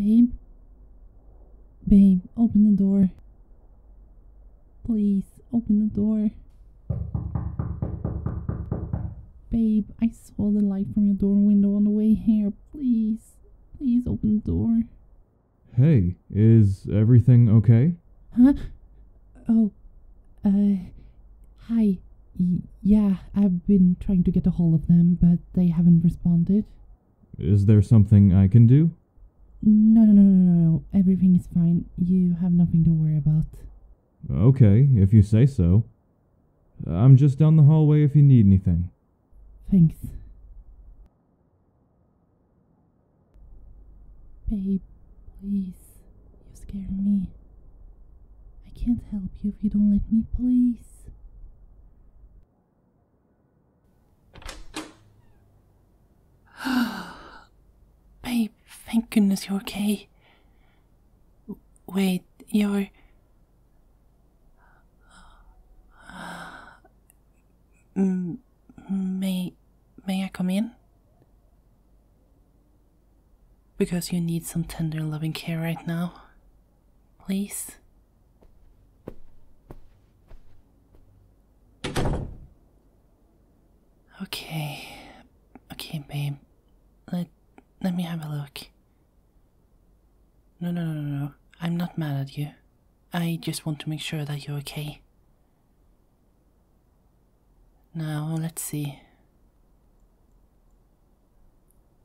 Babe? Babe, open the door. Please, open the door. Babe, I saw the light from your door window on the way here. Please. Please, open the door. Hey, is everything okay? Huh? Oh, uh, hi. yeah, I've been trying to get a hold of them, but they haven't responded. Is there something I can do? No, no, no, no, no, no. Everything is fine. You have nothing to worry about. Okay, if you say so. I'm just down the hallway if you need anything. Thanks. Babe, please. You scare me. I can't help you if you don't let me, please. Babe, thank goodness you're okay. Wait, you're may may I come in? Because you need some tender loving care right now. Please. Okay. Okay, babe. Let let me have a look. No, no, no, no, no. I'm not mad at you. I just want to make sure that you're okay. Now, let's see.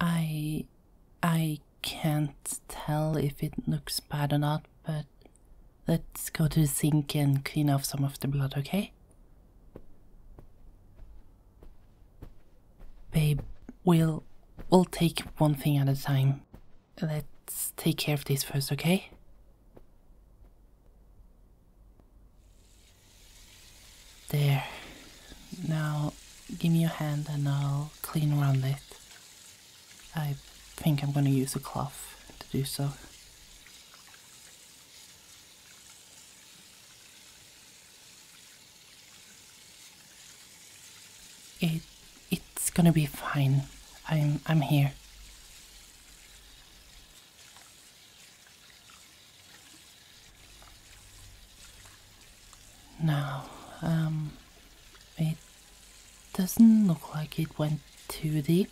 I. I can't tell if it looks bad or not, but let's go to the sink and clean off some of the blood, okay? Babe, we'll We'll take one thing at a time. Let's take care of this first, okay? There. Now, give me your hand and I'll clean around it. I think I'm gonna use a cloth to do so. It it's gonna be fine. I'm I'm here. Now, um it doesn't look like it went too deep,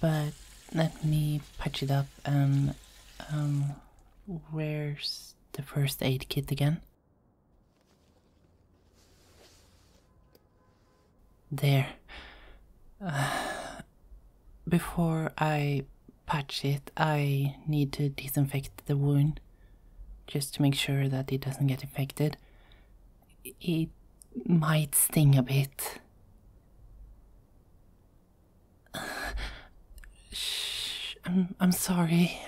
but let me patch it up and um where's the first aid kit again? There. before I patch it, I need to disinfect the wound just to make sure that it doesn't get infected. It might sting a bit. Shh, I'm, I'm sorry.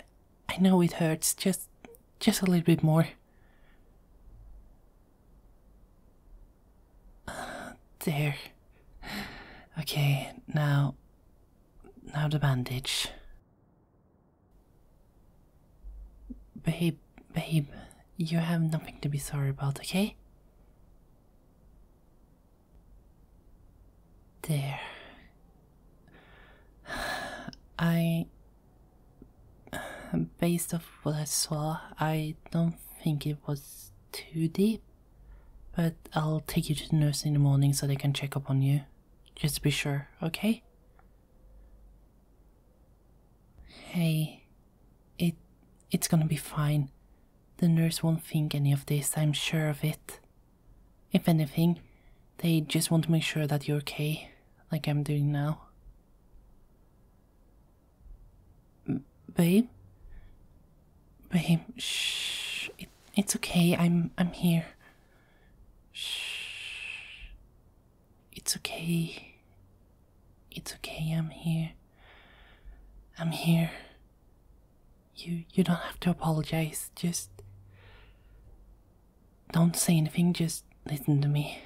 I know it hurts, just just a little bit more. there. Okay, now now the bandage. Babe, babe, you have nothing to be sorry about, okay? There. I. Based off what I saw, I don't think it was too deep, but I'll take you to the nurse in the morning so they can check up on you. Just to be sure, okay? Hey, it it's gonna be fine. The nurse won't think any of this, I'm sure of it. If anything, they just want to make sure that you're okay, like I'm doing now. babe? Babe, shh. it's okay. I'm I'm here. Shh. It's okay. It's okay. I'm here. I'm here. You you don't have to apologize. Just don't say anything, just listen to me.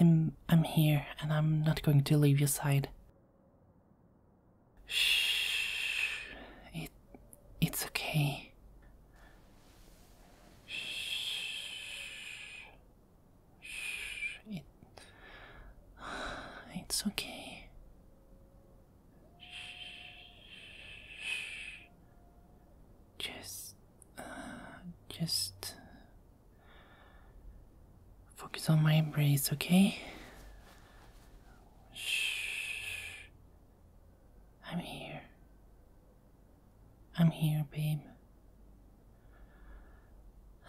I'm I'm here and I'm not going to leave your side. Shh. It it's okay. Shh. Shh. It it's okay. Just, uh, just focus on my embrace, okay? Shh. I'm here. I'm here, babe.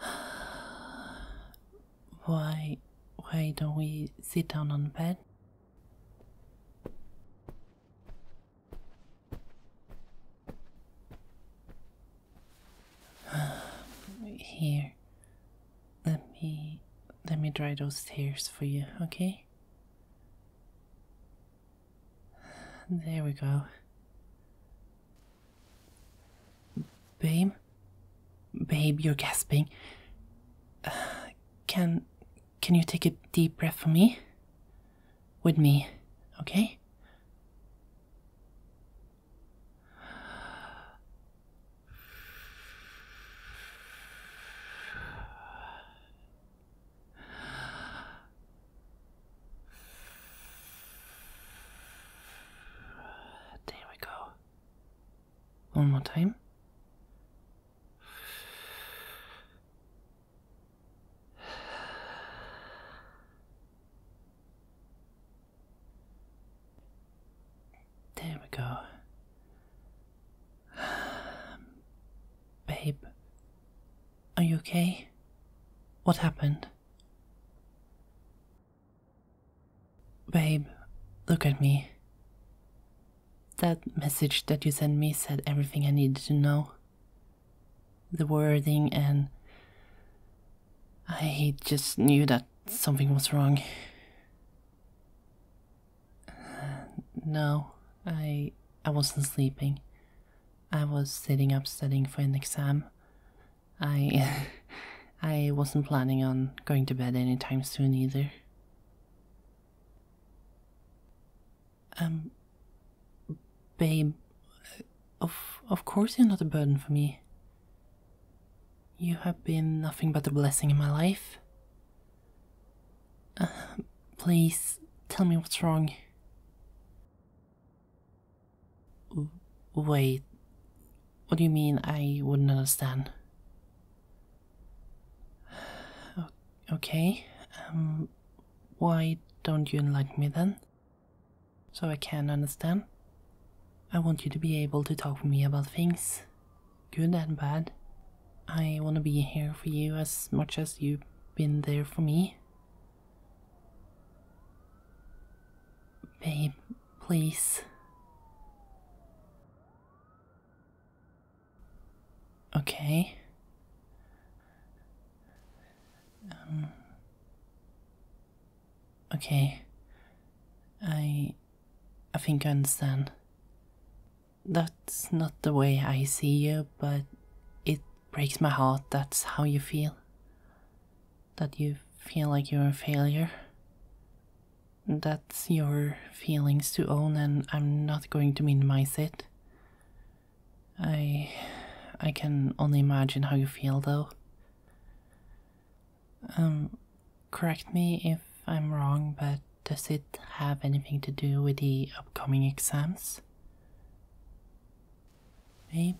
Why, why don't we sit down on the bed? Here. Let me let me dry those tears for you, okay? There we go. Babe? Babe, you're gasping. can can you take a deep breath for me? With me, okay? There we go. One more time. There we go. Babe, are you okay? What happened? Babe, look at me. That message that you sent me said everything I needed to know. The wording and. I just knew that something was wrong. Uh, no, I I wasn't sleeping. I was sitting up studying for an exam. I I wasn't planning on going to bed anytime soon either. Um, babe, of, of course you're not a burden for me. You have been nothing but a blessing in my life. Uh, please tell me what's wrong. Wait, what do you mean I wouldn't understand? Okay, um, why don't you like me then? So I can understand. I want you to be able to talk to me about things, good and bad. I want to be here for you as much as you've been there for me. Babe, please. Okay. Um, okay. I. I think I understand. That's not the way I see you, but it breaks my heart that's how you feel. That you feel like you're a failure. That's your feelings to own, and I'm not going to minimize it. I I can only imagine how you feel though. Um correct me if I'm wrong, but does it have anything to do with the upcoming exams? Babe?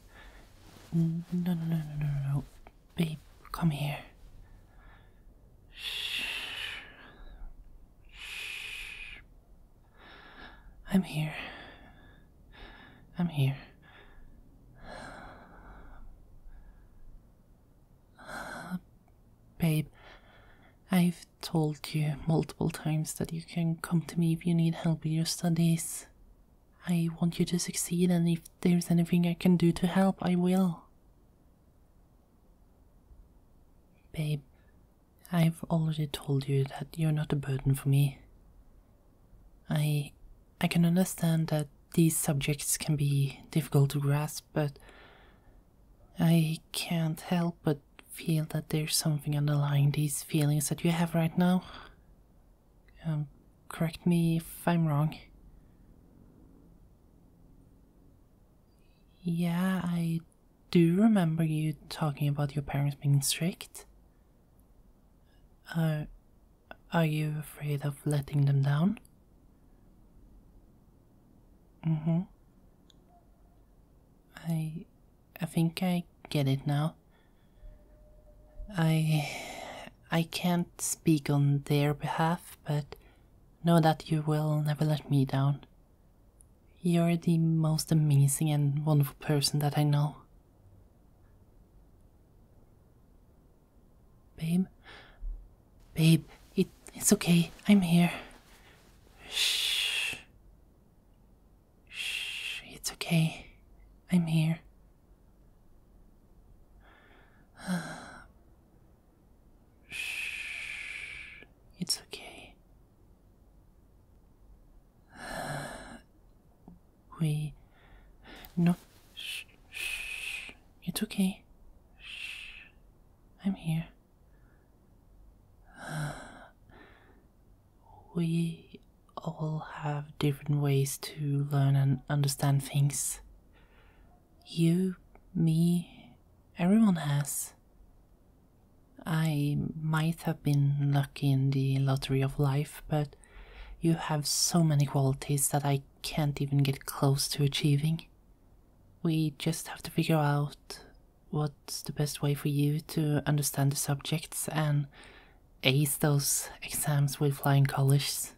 No, no, no, no, no, Babe, come here. Shh. Shh. I'm here. I'm here. babe, I've told you multiple times that you can come to me if you need help with your studies. I want you to succeed, and if there's anything I can do to help, I will. Babe, I've already told you that you're not a burden for me. I I can understand that these subjects can be difficult to grasp, but I can't help but feel that there's something underlying these feelings that you have right now. Um, correct me if I'm wrong. Yeah, I do you remember you talking about your parents being strict? Are, uh, are you afraid of letting them down? Mm hmm. I. I think I get it now. I. I can't speak on their behalf, but know that you will never let me down. You're the most amazing and wonderful person that I know. Babe? Babe, it, it's okay. I'm here. Shh. Shh. It's okay. I'm here. Shh. It's okay. We. No. Shh. Shh. It's okay. Shh. I'm here. We all have different ways to learn and understand things. You, me, everyone has. I might have been lucky in the lottery of life, but you have so many qualities that I can't even get close to achieving. We just have to figure out what's the best way for you to understand the subjects and ace those exams with flying colors.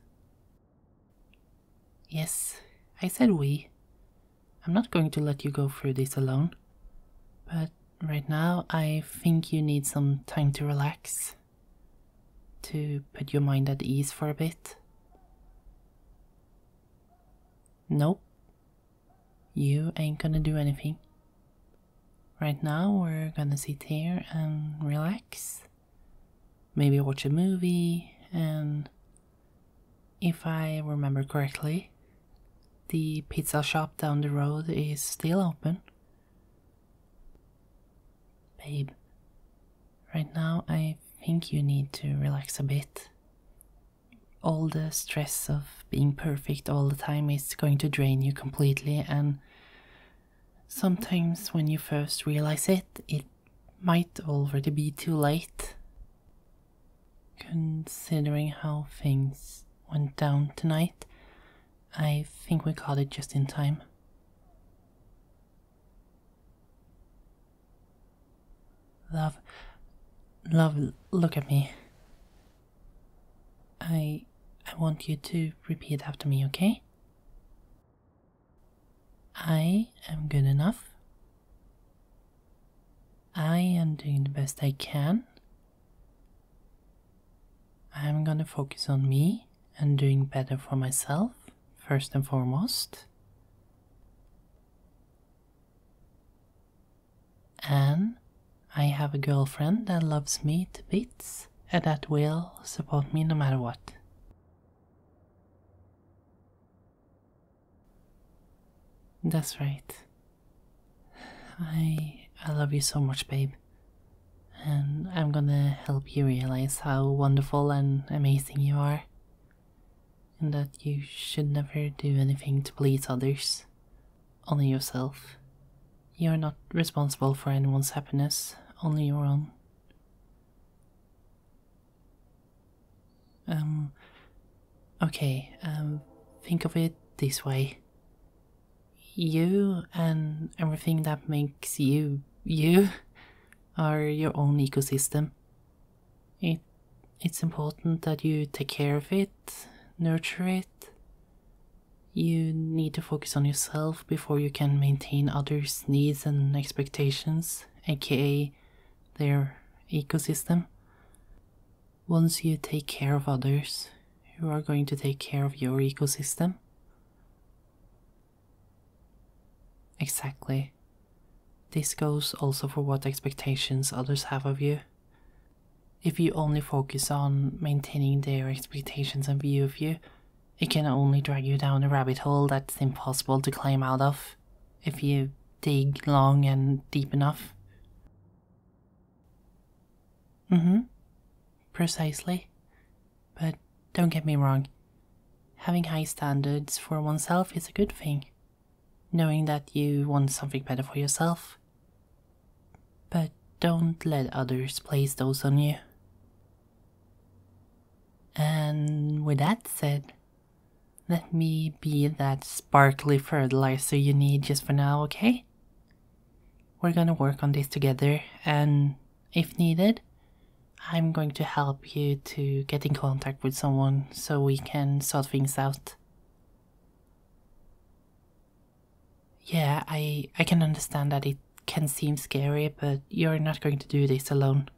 Yes, I said we. I'm not going to let you go through this alone. But right now, I think you need some time to relax, to put your mind at ease for a bit. Nope. You ain't gonna do anything. Right now, we're gonna sit here and relax. Maybe watch a movie and if I remember correctly, the pizza shop down the road is still open. Babe, right now I think you need to relax a bit. All the stress of being perfect all the time is going to drain you completely, and sometimes when you first realize it, it might already be too late. Considering how things went down tonight, I think we caught it just in time. Love, love, look at me. I, I want you to repeat after me, okay? I am good enough. I am doing the best I can. I'm gonna focus on me and doing better for myself, first and foremost. And I have a girlfriend that loves me to bits and that will support me no matter what. That's right. I I love you so much, babe. And I'm gonna help you realize how wonderful and amazing you are. And that you should never do anything to please others, only yourself. You're not responsible for anyone's happiness, only your own. Um, okay, um, think of it this way. You and everything that makes you you are your own ecosystem. It it's important that you take care of it, nurture it. You need to focus on yourself before you can maintain others' needs and expectations, aka their ecosystem. Once you take care of others, you are going to take care of your ecosystem. Exactly. This goes also for what expectations others have of you. If you only focus on maintaining their expectations and view of you, it can only drag you down a rabbit hole that's impossible to climb out of if you dig long and deep enough. Mm hmm. Precisely. But don't get me wrong, having high standards for oneself is a good thing, knowing that you want something better for yourself. But don't let others place those on you. And with that said, let me be that sparkly fertilizer you need just for now, okay? We're gonna work on this together, and if needed, I'm going to help you to get in contact with someone so we can sort things out. Yeah, I, I can understand that it can seem scary, but you're not going to do this alone.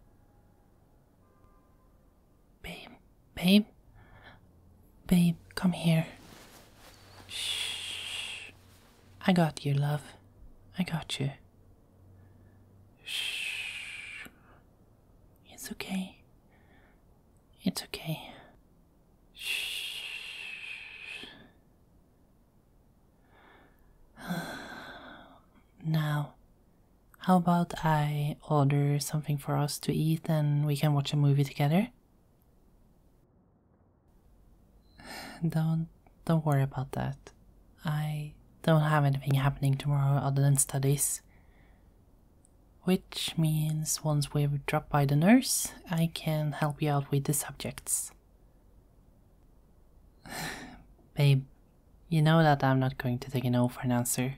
Babe, Babe? Babe, come here. Shh. I got you, love. I got you. Shh. It's okay. It's okay. Shh. now, how about I order something for us to eat and we can watch a movie together? Don't don't worry about that. I don't have anything happening tomorrow other than studies. Which means once we've dropped by the nurse, I can help you out with the subjects. Babe, you know that I'm not going to take a no for an answer.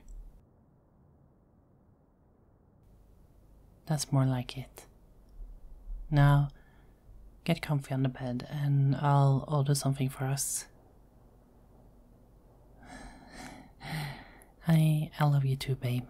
That's more like it. Now, get comfy on the bed and I'll order something for us. I, I love you too, babe.